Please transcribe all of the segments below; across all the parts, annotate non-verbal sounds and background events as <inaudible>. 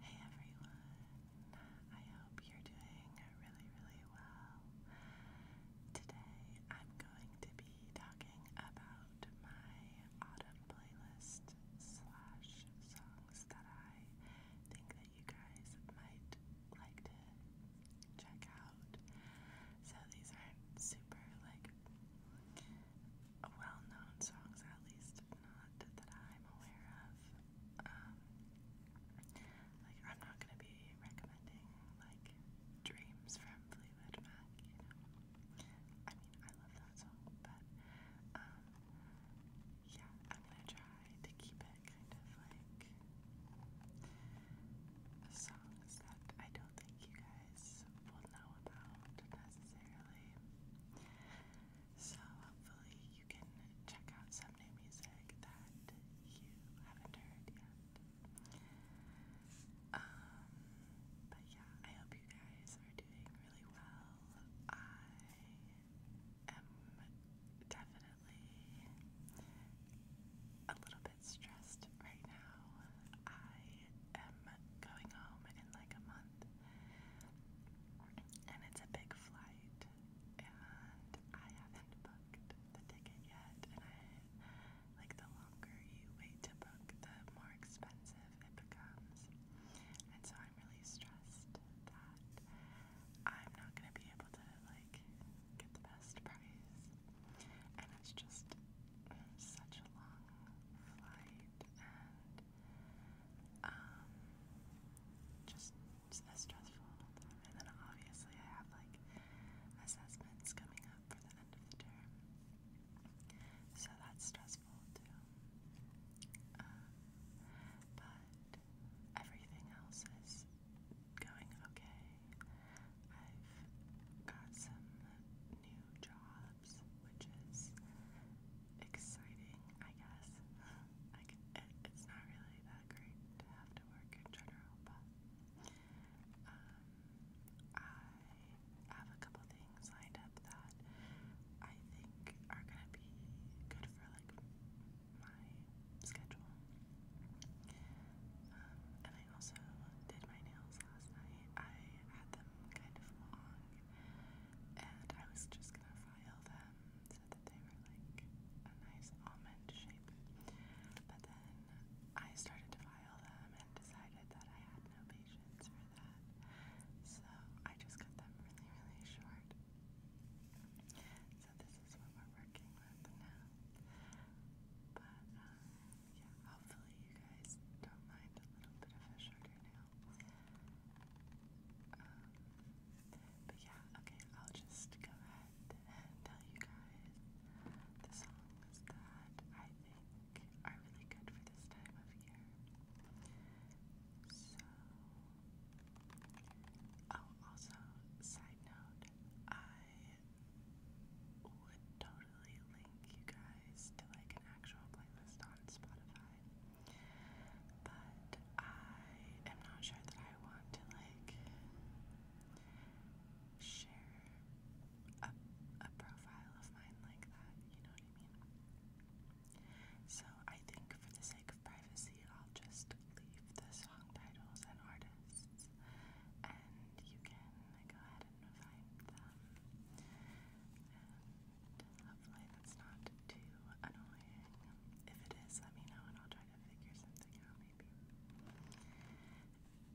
Hey everyone, I hope you're doing really, really well. Today I'm going to be talking about my autumn playlist slash songs that I think that you guys might like to check out. So these aren't super like well known songs, at least not that I'm aware of. Um, like, I'm not going to be recommending, like, Dreams from Fleetwood Mac, you know. I mean, I love that song, but, um, yeah, I'm going to try to keep it kind of like songs that I don't think you guys will know about necessarily. So hopefully you can check out some new music that you haven't heard yet. Um, but yeah, I hope you guys are doing really well. I am definitely a little bit stressed right now. I am going home in like a month, and it's a big flight, and I haven't booked the ticket yet. And I like the longer you wait to book, the more expensive it becomes. And so I'm really stressed that I'm not gonna be able to like get the best price. And it's just such a long flight, and um, just as stressful all the time. And then obviously I have like assessments coming up for the end of the term. So that's stressful too. Um, but everything else is going okay. I've got some new jobs, which is exciting, I guess. Like, it's not really that great to have to work in general, but um, I have a couple things lined up that I think are gonna be good for like my schedule. Um, and I also did my nails last night. I had them kind of long and I was just gonna file them so that they were like a nice almond shape. But then I started to file them and decided that I had no patience for that, so I just cut them really, really short. So this is what we're working with now. But um, yeah, hopefully you guys don't mind a little bit of a shorter nail. Um, but yeah, okay, I'll just go ahead and tell you guys the songs that I think are really good for this time of year. So, oh, also, side note, I would totally definitely link you guys to like an actual playlist on Spotify. But I am not sure that I want to like share a, a profile of mine like that, you know what I mean? So I think for the sake of privacy, I'll just leave the song titles and artists, and you can go ahead and find them. And uh, hopefully that's not too annoying. If it is, let me know and I'll try to figure something out maybe.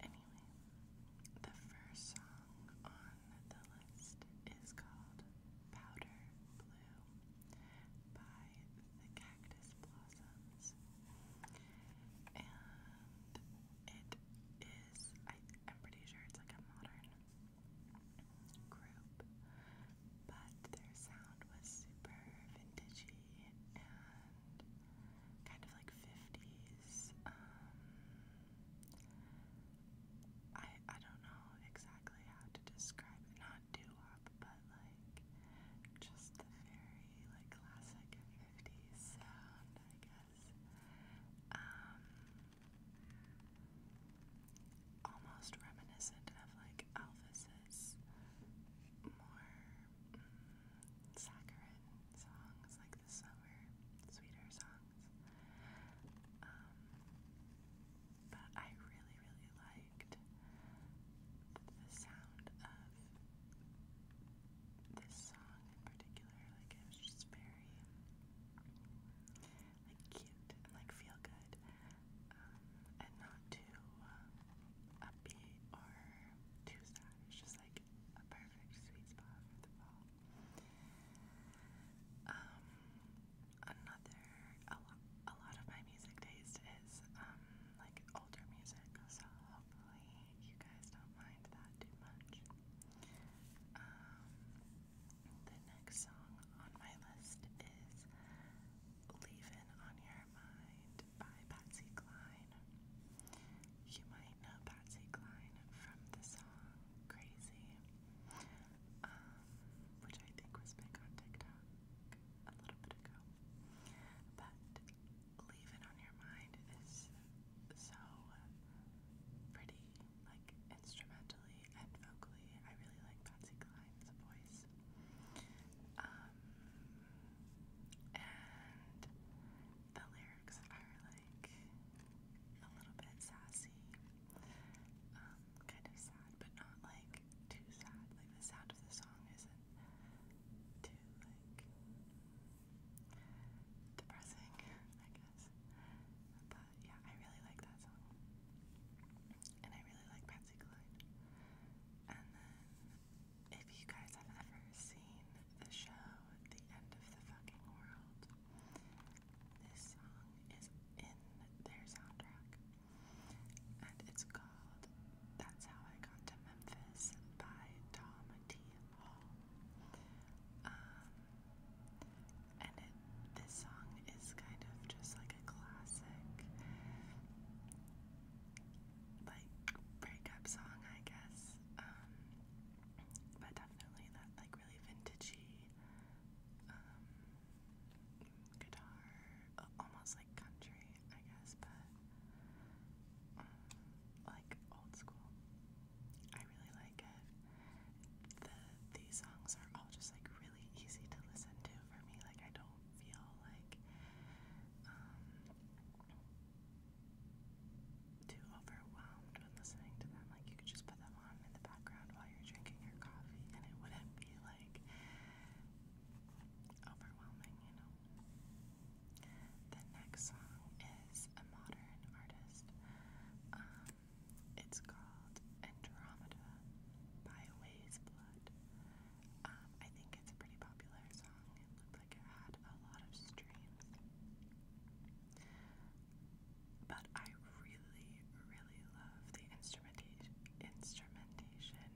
Anyway, the first song on the list is called Powder Blue by the Cactus Blossoms. And it I, am pretty sure it's like a modern group, but their sound was super vintagey and kind of like 50s. Um, I I don't know exactly how to describe Not doo wop, but like just the very like classic 50s sound, I guess um, almost reminiscent of like Elvis's more mm, songs, like the summer sweeter songs. Um, but I really, really liked the sound of this song particular. Like it was just very like cute and like feel good, um, and not too uh, upbeat or too sad. It's just like a perfect sweet spot for the fall. Um, another a a lot of my music taste is um like older music, so hopefully you guys don't mind that too much. Um, the next song on my list is Leavin' on Your Mind by Patsy Cline. You might know Patsy Cline from the song Crazy, um, which I think was big on TikTok a little bit ago. But leave it on your mind is so pretty, like instrumentally and vocally. I really like Patsy Cline's voice. Um, and the lyrics are like a little bit sassy, um, kind of sad, but not like too sad. Like the sound of the song isn't too like depressing, I guess. But yeah, I really like that song. And I really like Patsy Cline. And then, if you guys have ever seen the show The End of the Fucking World, this song is in their soundtrack. And it's called That's How I Got to Memphis by Tom Hall. Um, and it, this song is kind of just like a classic, like breakup song, I guess. Um, but definitely that like really vintagey um, guitar, almost like country, I guess, but like old school. I really like it. The these songs are all just like really easy to listen to for me. Like I don't feel like um, too overwhelmed when listening to them. Like you could just put them on in the background while you're drinking your coffee and it wouldn't be like overwhelming, you know. The next song is a modern artist. Um, it's called Andromeda by Ways Blood. Um, I think it's a pretty popular song. It looked like it had a lot of streams. But I really, really love the instrumentation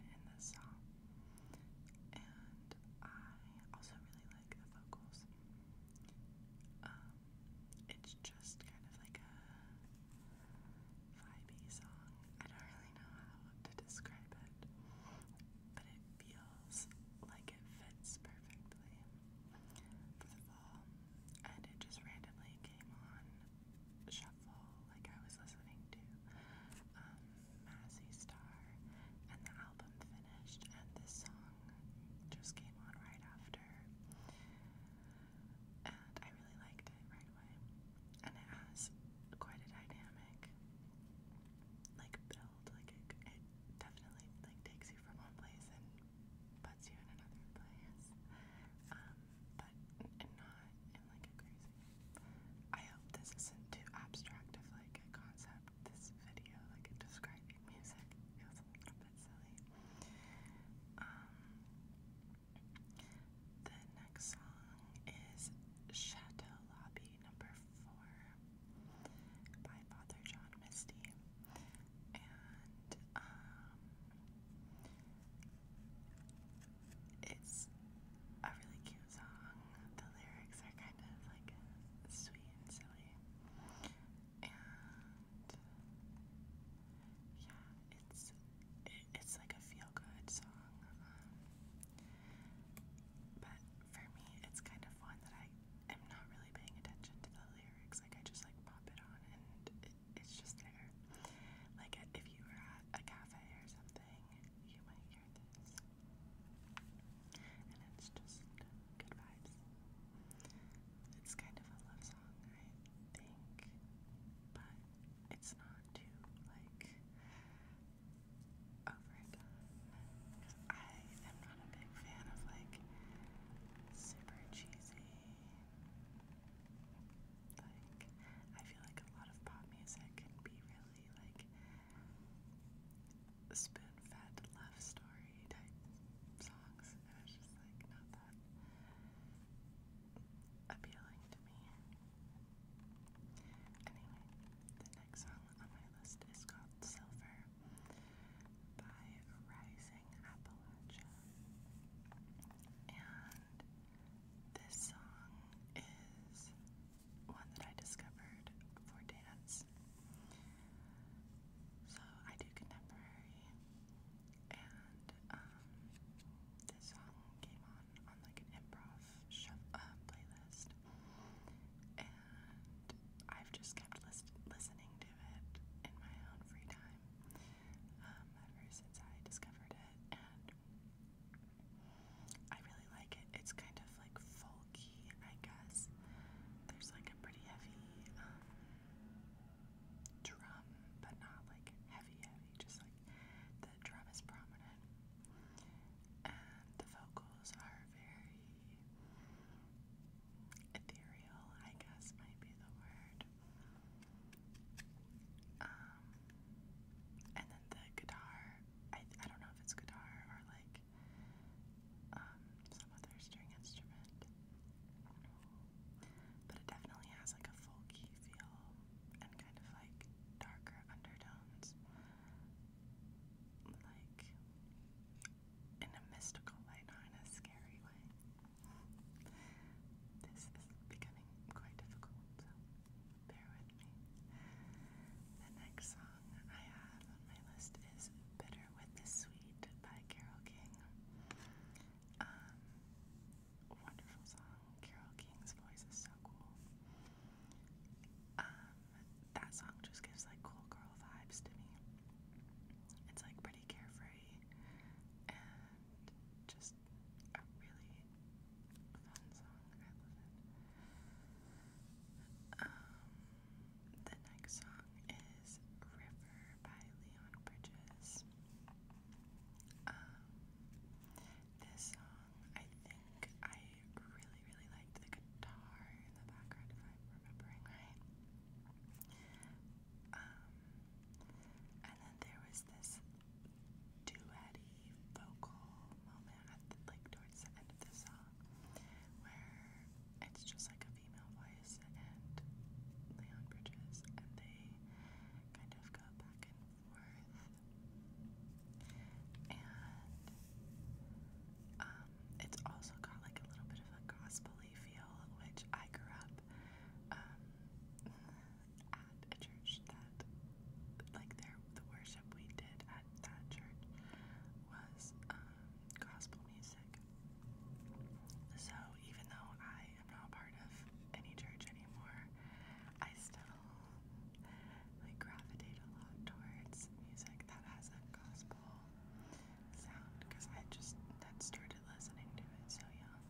in this song. And I also really like the vocals. Um, it's just kind of like a vibey song. I don't really know how to describe it, but it feels like it fits perfectly for the fall. And it just randomly came on shuffle, like I was listening to um, Massy Star, and the album finished, and this song just came on right after. And I really liked it right away. And it has quite a dynamic like build. Like it, definitely like takes you from one place and puts you in another place. Um, but not in like a crazy. I hope this isn't too abstract of like a concept this video, like describing music. It was a little bit silly. Um, the next song is Chateau Lobby number four by Father John Misty. And um, it's a really cute song the lyrics are kind of like sweet and silly. And yeah, it's it, it's like a feel good song. Um, but for me, it's kind of one that I am not really paying attention to the lyrics. Like I just like pop it on and it, it's just there. Like if you were at a cafe or something, you might hear this. And it's just good vibes. It's kind of a love song, I think, but it's not too, like, over I am not a big fan of, like, super cheesy. Like, I feel like a lot of pop music can be really, like, spoon-fed love story type songs. It was just like not that appealing to me. Anyway, the next song on my list is called Silver by Rising Appalachia. And this song is one that I discovered for dance. So I do contemporary, and um, this song came on on like an improv sh uh, playlist, and I've just kept listening to it in my own free time um, ever since I discovered it, I really like it. It's kind of like folky, I guess. There's like a pretty heavy um, drum, but not like heavy, heavy. Just like the drum is prominent, and the vocals are very ethereal. I guess might be the word. Um, and then the guitar I I don't know if it's guitar or like um some other string instrument. But it definitely has like a folky feel and kind of like darker undertones. Like in a mystical way, not in a scary way. This is becoming quite difficult bear with me. The next song I have on my list is Bitter with the Sweet by Carol King. Um, wonderful song. Carol King's voice is so cool. Um, that song just gives like cool girl vibes to me. It's like pretty carefree and just a really fun song. I love it. Um, the next song is River by Leon Bridges. Um, this song, I think I really, really liked the guitar in the background, if I'm remembering right. Um, and then there was this duetty vocal moment at like towards the end of the song where it's just like a female voice and Leon Bridges and they kind of go back and forth and um, it's also got like a little bit of a gospel-y feel which I grew up um, at a church that, like, the worship we did at that church was um, gospel music. So even though I am not part of any church anymore, I still gravitate a lot towards music that has a gospel sound because I just that started listening to it so young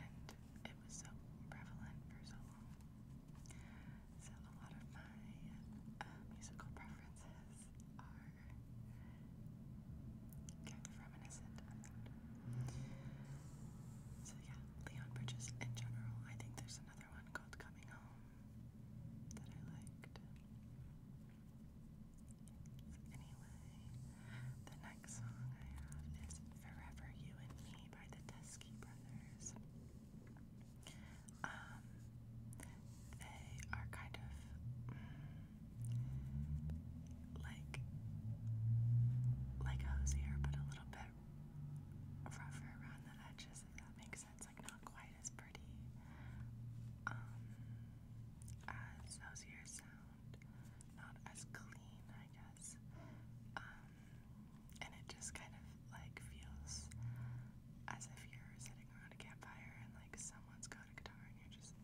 and it was so prevalent for so long. So a lot of my um, musical preferences are kind of So yeah, Leon Bridges in general. I think there's another one called Coming Home that I liked. So anyway, the next song I have is Forever You and Me by the Test Brodsky brothers. Um, they are kind of mm, like like hosier, but a little bit rougher around the edges. If that makes sense, like not quite as pretty um, as hosier sound, not as clean, I guess. Um, and it just kind of like feels as if you're sitting around a campfire and like someone's got a guitar and you're just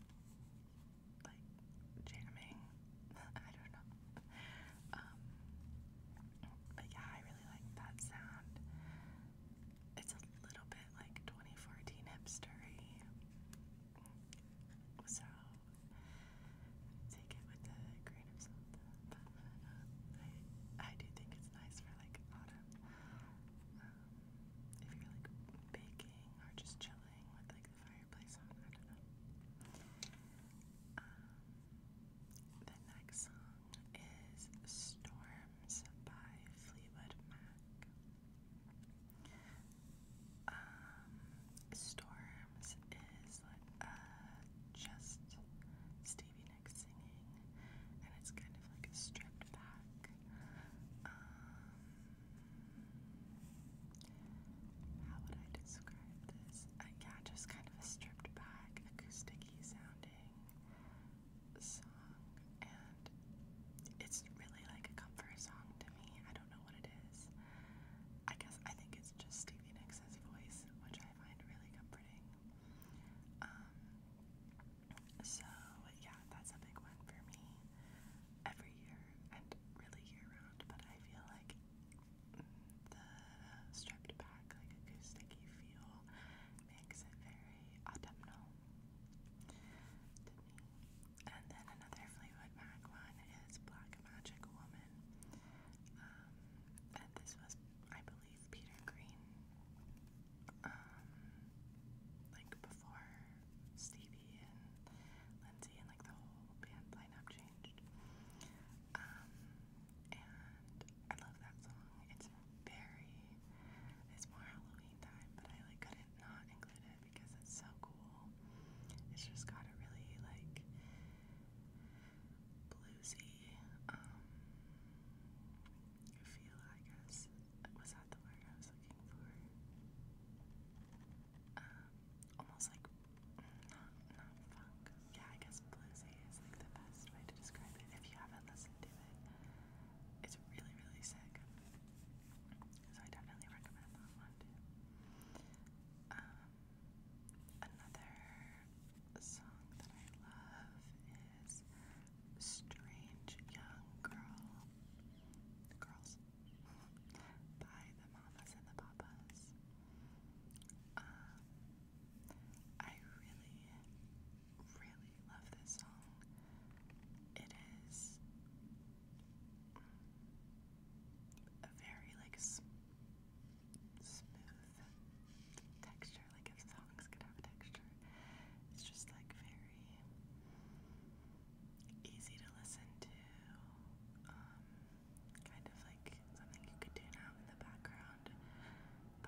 like jamming. <laughs> I don't know. Um, but yeah, I really like that sound. It's a little bit like 2014 hipstery. So take it with a grain of salt. But uh, I, I do think it's nice for like autumn. Um, if you're like baking or just chilling with like the fireplace on, I don't know. Um, the next song is Storms by Fleetwood Mac. Um, Storms uh, just Stevie Nicks singing, and it's kind of like a stripped back. Um, how would I describe this? Uh, yeah, just kind of a stripped back, acousticy sounding song, and it's really like a comfort song to me. I don't know what it is. I guess I think it's just Stevie Nicks Alexa's voice, which I find really comforting. Um, so, yeah, that's a big one for me every year and really year round, but I feel like the stripped back, like acoustic feel, makes it very autumnal to me. And then another Fleetwood Mac one is Black Magic Woman. Um, and this was, I believe, Peter Green. Um, like before Stevie and Lindsay and like the whole band lineup changed. Um, and I love that song. It's very, it's more Halloween time, but I like couldn't not include it because it's so cool. It's just got a really like bluesy um, feel, I guess. Was that the word I was looking for? Um, almost like not not funk. Yeah, I guess bluesy is like the best way to describe it. If you haven't listened to it, it's really really sick. So I definitely recommend that one too. Um, Another song that I love is Strange Young Girl. girls by the Mamas and the Papas. Um, I really, really love this song. It is a very like smooth texture. Like if songs could have texture, it's just like very easy to listen to. Um, kind of like something you could tune out in the background.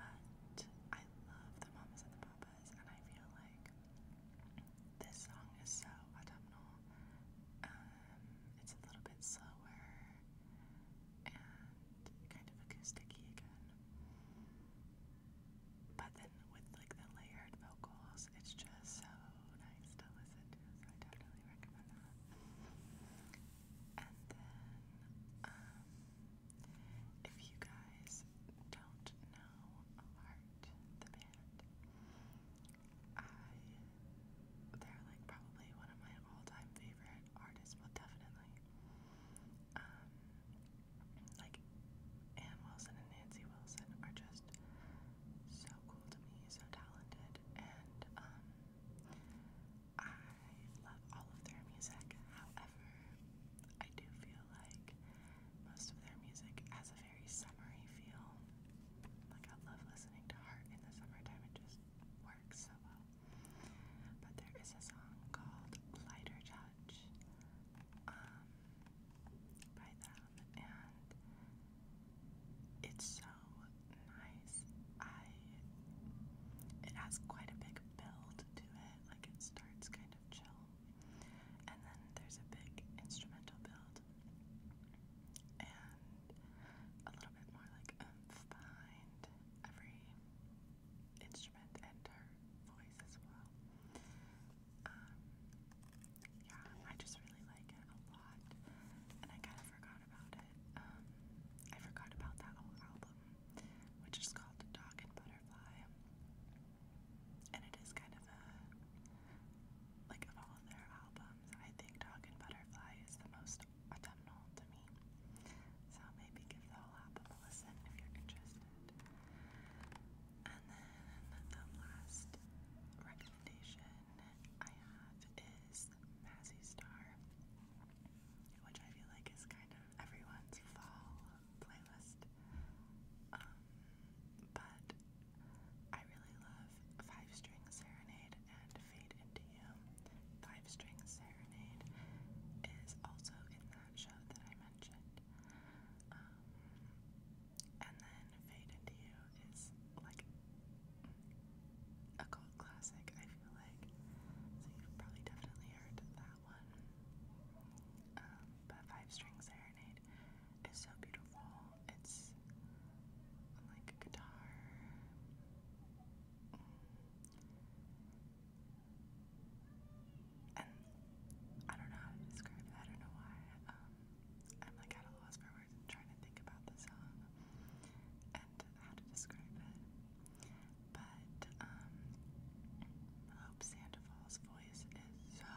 But I love the Mamas and the Papas, and I feel like this song is so autumnal um, it's a little bit slower and kind of acousticy again. But then with like the layered vocals, it's just so nice to listen to. So I definitely recommend that. And then, um, if you guys don't know Heart the band, I they're like probably one of my all-time favorite artists, well definitely. Um, like Ann Wilson and Nancy Wilson are just so cool to me, so talented, and um, I love all of their music. However, I do feel like most of their music as of very summery feel. Like I love listening to Heart in the summertime. It just works so well. But there is a song called Lighter Touch um, by them, and it's so nice. I it has quite a big build to it. Like it starts kind of chill, and then there's a big instrumental build. And a little bit more like oomph um, every instrument and her voice as well. Um, yeah, I just really like it a lot, and I kind of forgot about it. Um, I forgot about that whole album, which is called Dog and Butterfly, and it is kind of a like of all their albums, I think Dog and Butterfly is the most autumnal to me. So maybe give the whole album a listen if you're interested. And then the last recommendation I have is Mazzy Star, which I feel like is kind of everyone's fall playlist. Um, but I really love Five String Serenade and Fade Into You. Five String Serenade is also in that show that I mentioned. Um, and then Fade Into You is like a cult classic, I feel like. So you've probably definitely heard that one. Um, but Five String Serenade it's so beautiful. It's like a guitar. And I don't know how to describe it. I don't know why. Um, I'm like at a loss for words and trying to think about the song and how to describe it. But um, Hope Sandoval's voice is so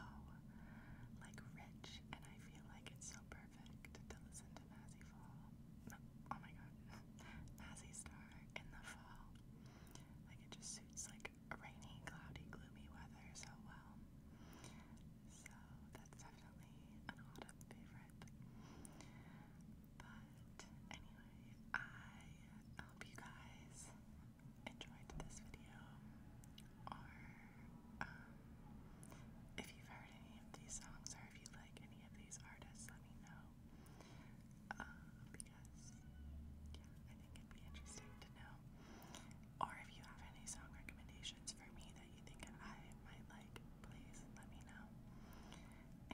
like rich, and I feel like it's so perfect to listen to Mazzy Fall. oh my god, <laughs> Mazzy Star in the fall. Like it just suits like rainy, cloudy, gloomy weather so well. So that's definitely an autumn favorite. But anyway, I hope you guys enjoyed this video or um, if you've heard any of these songs or if you like any of these artists, let me know. Um, because, yeah, I think it'd be interesting to know. Or if you have any song recommendations for me that you think I might like, please let me know.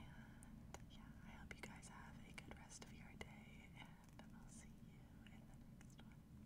And yeah, I hope you guys have a good rest of your day, and I'll see you in the next one.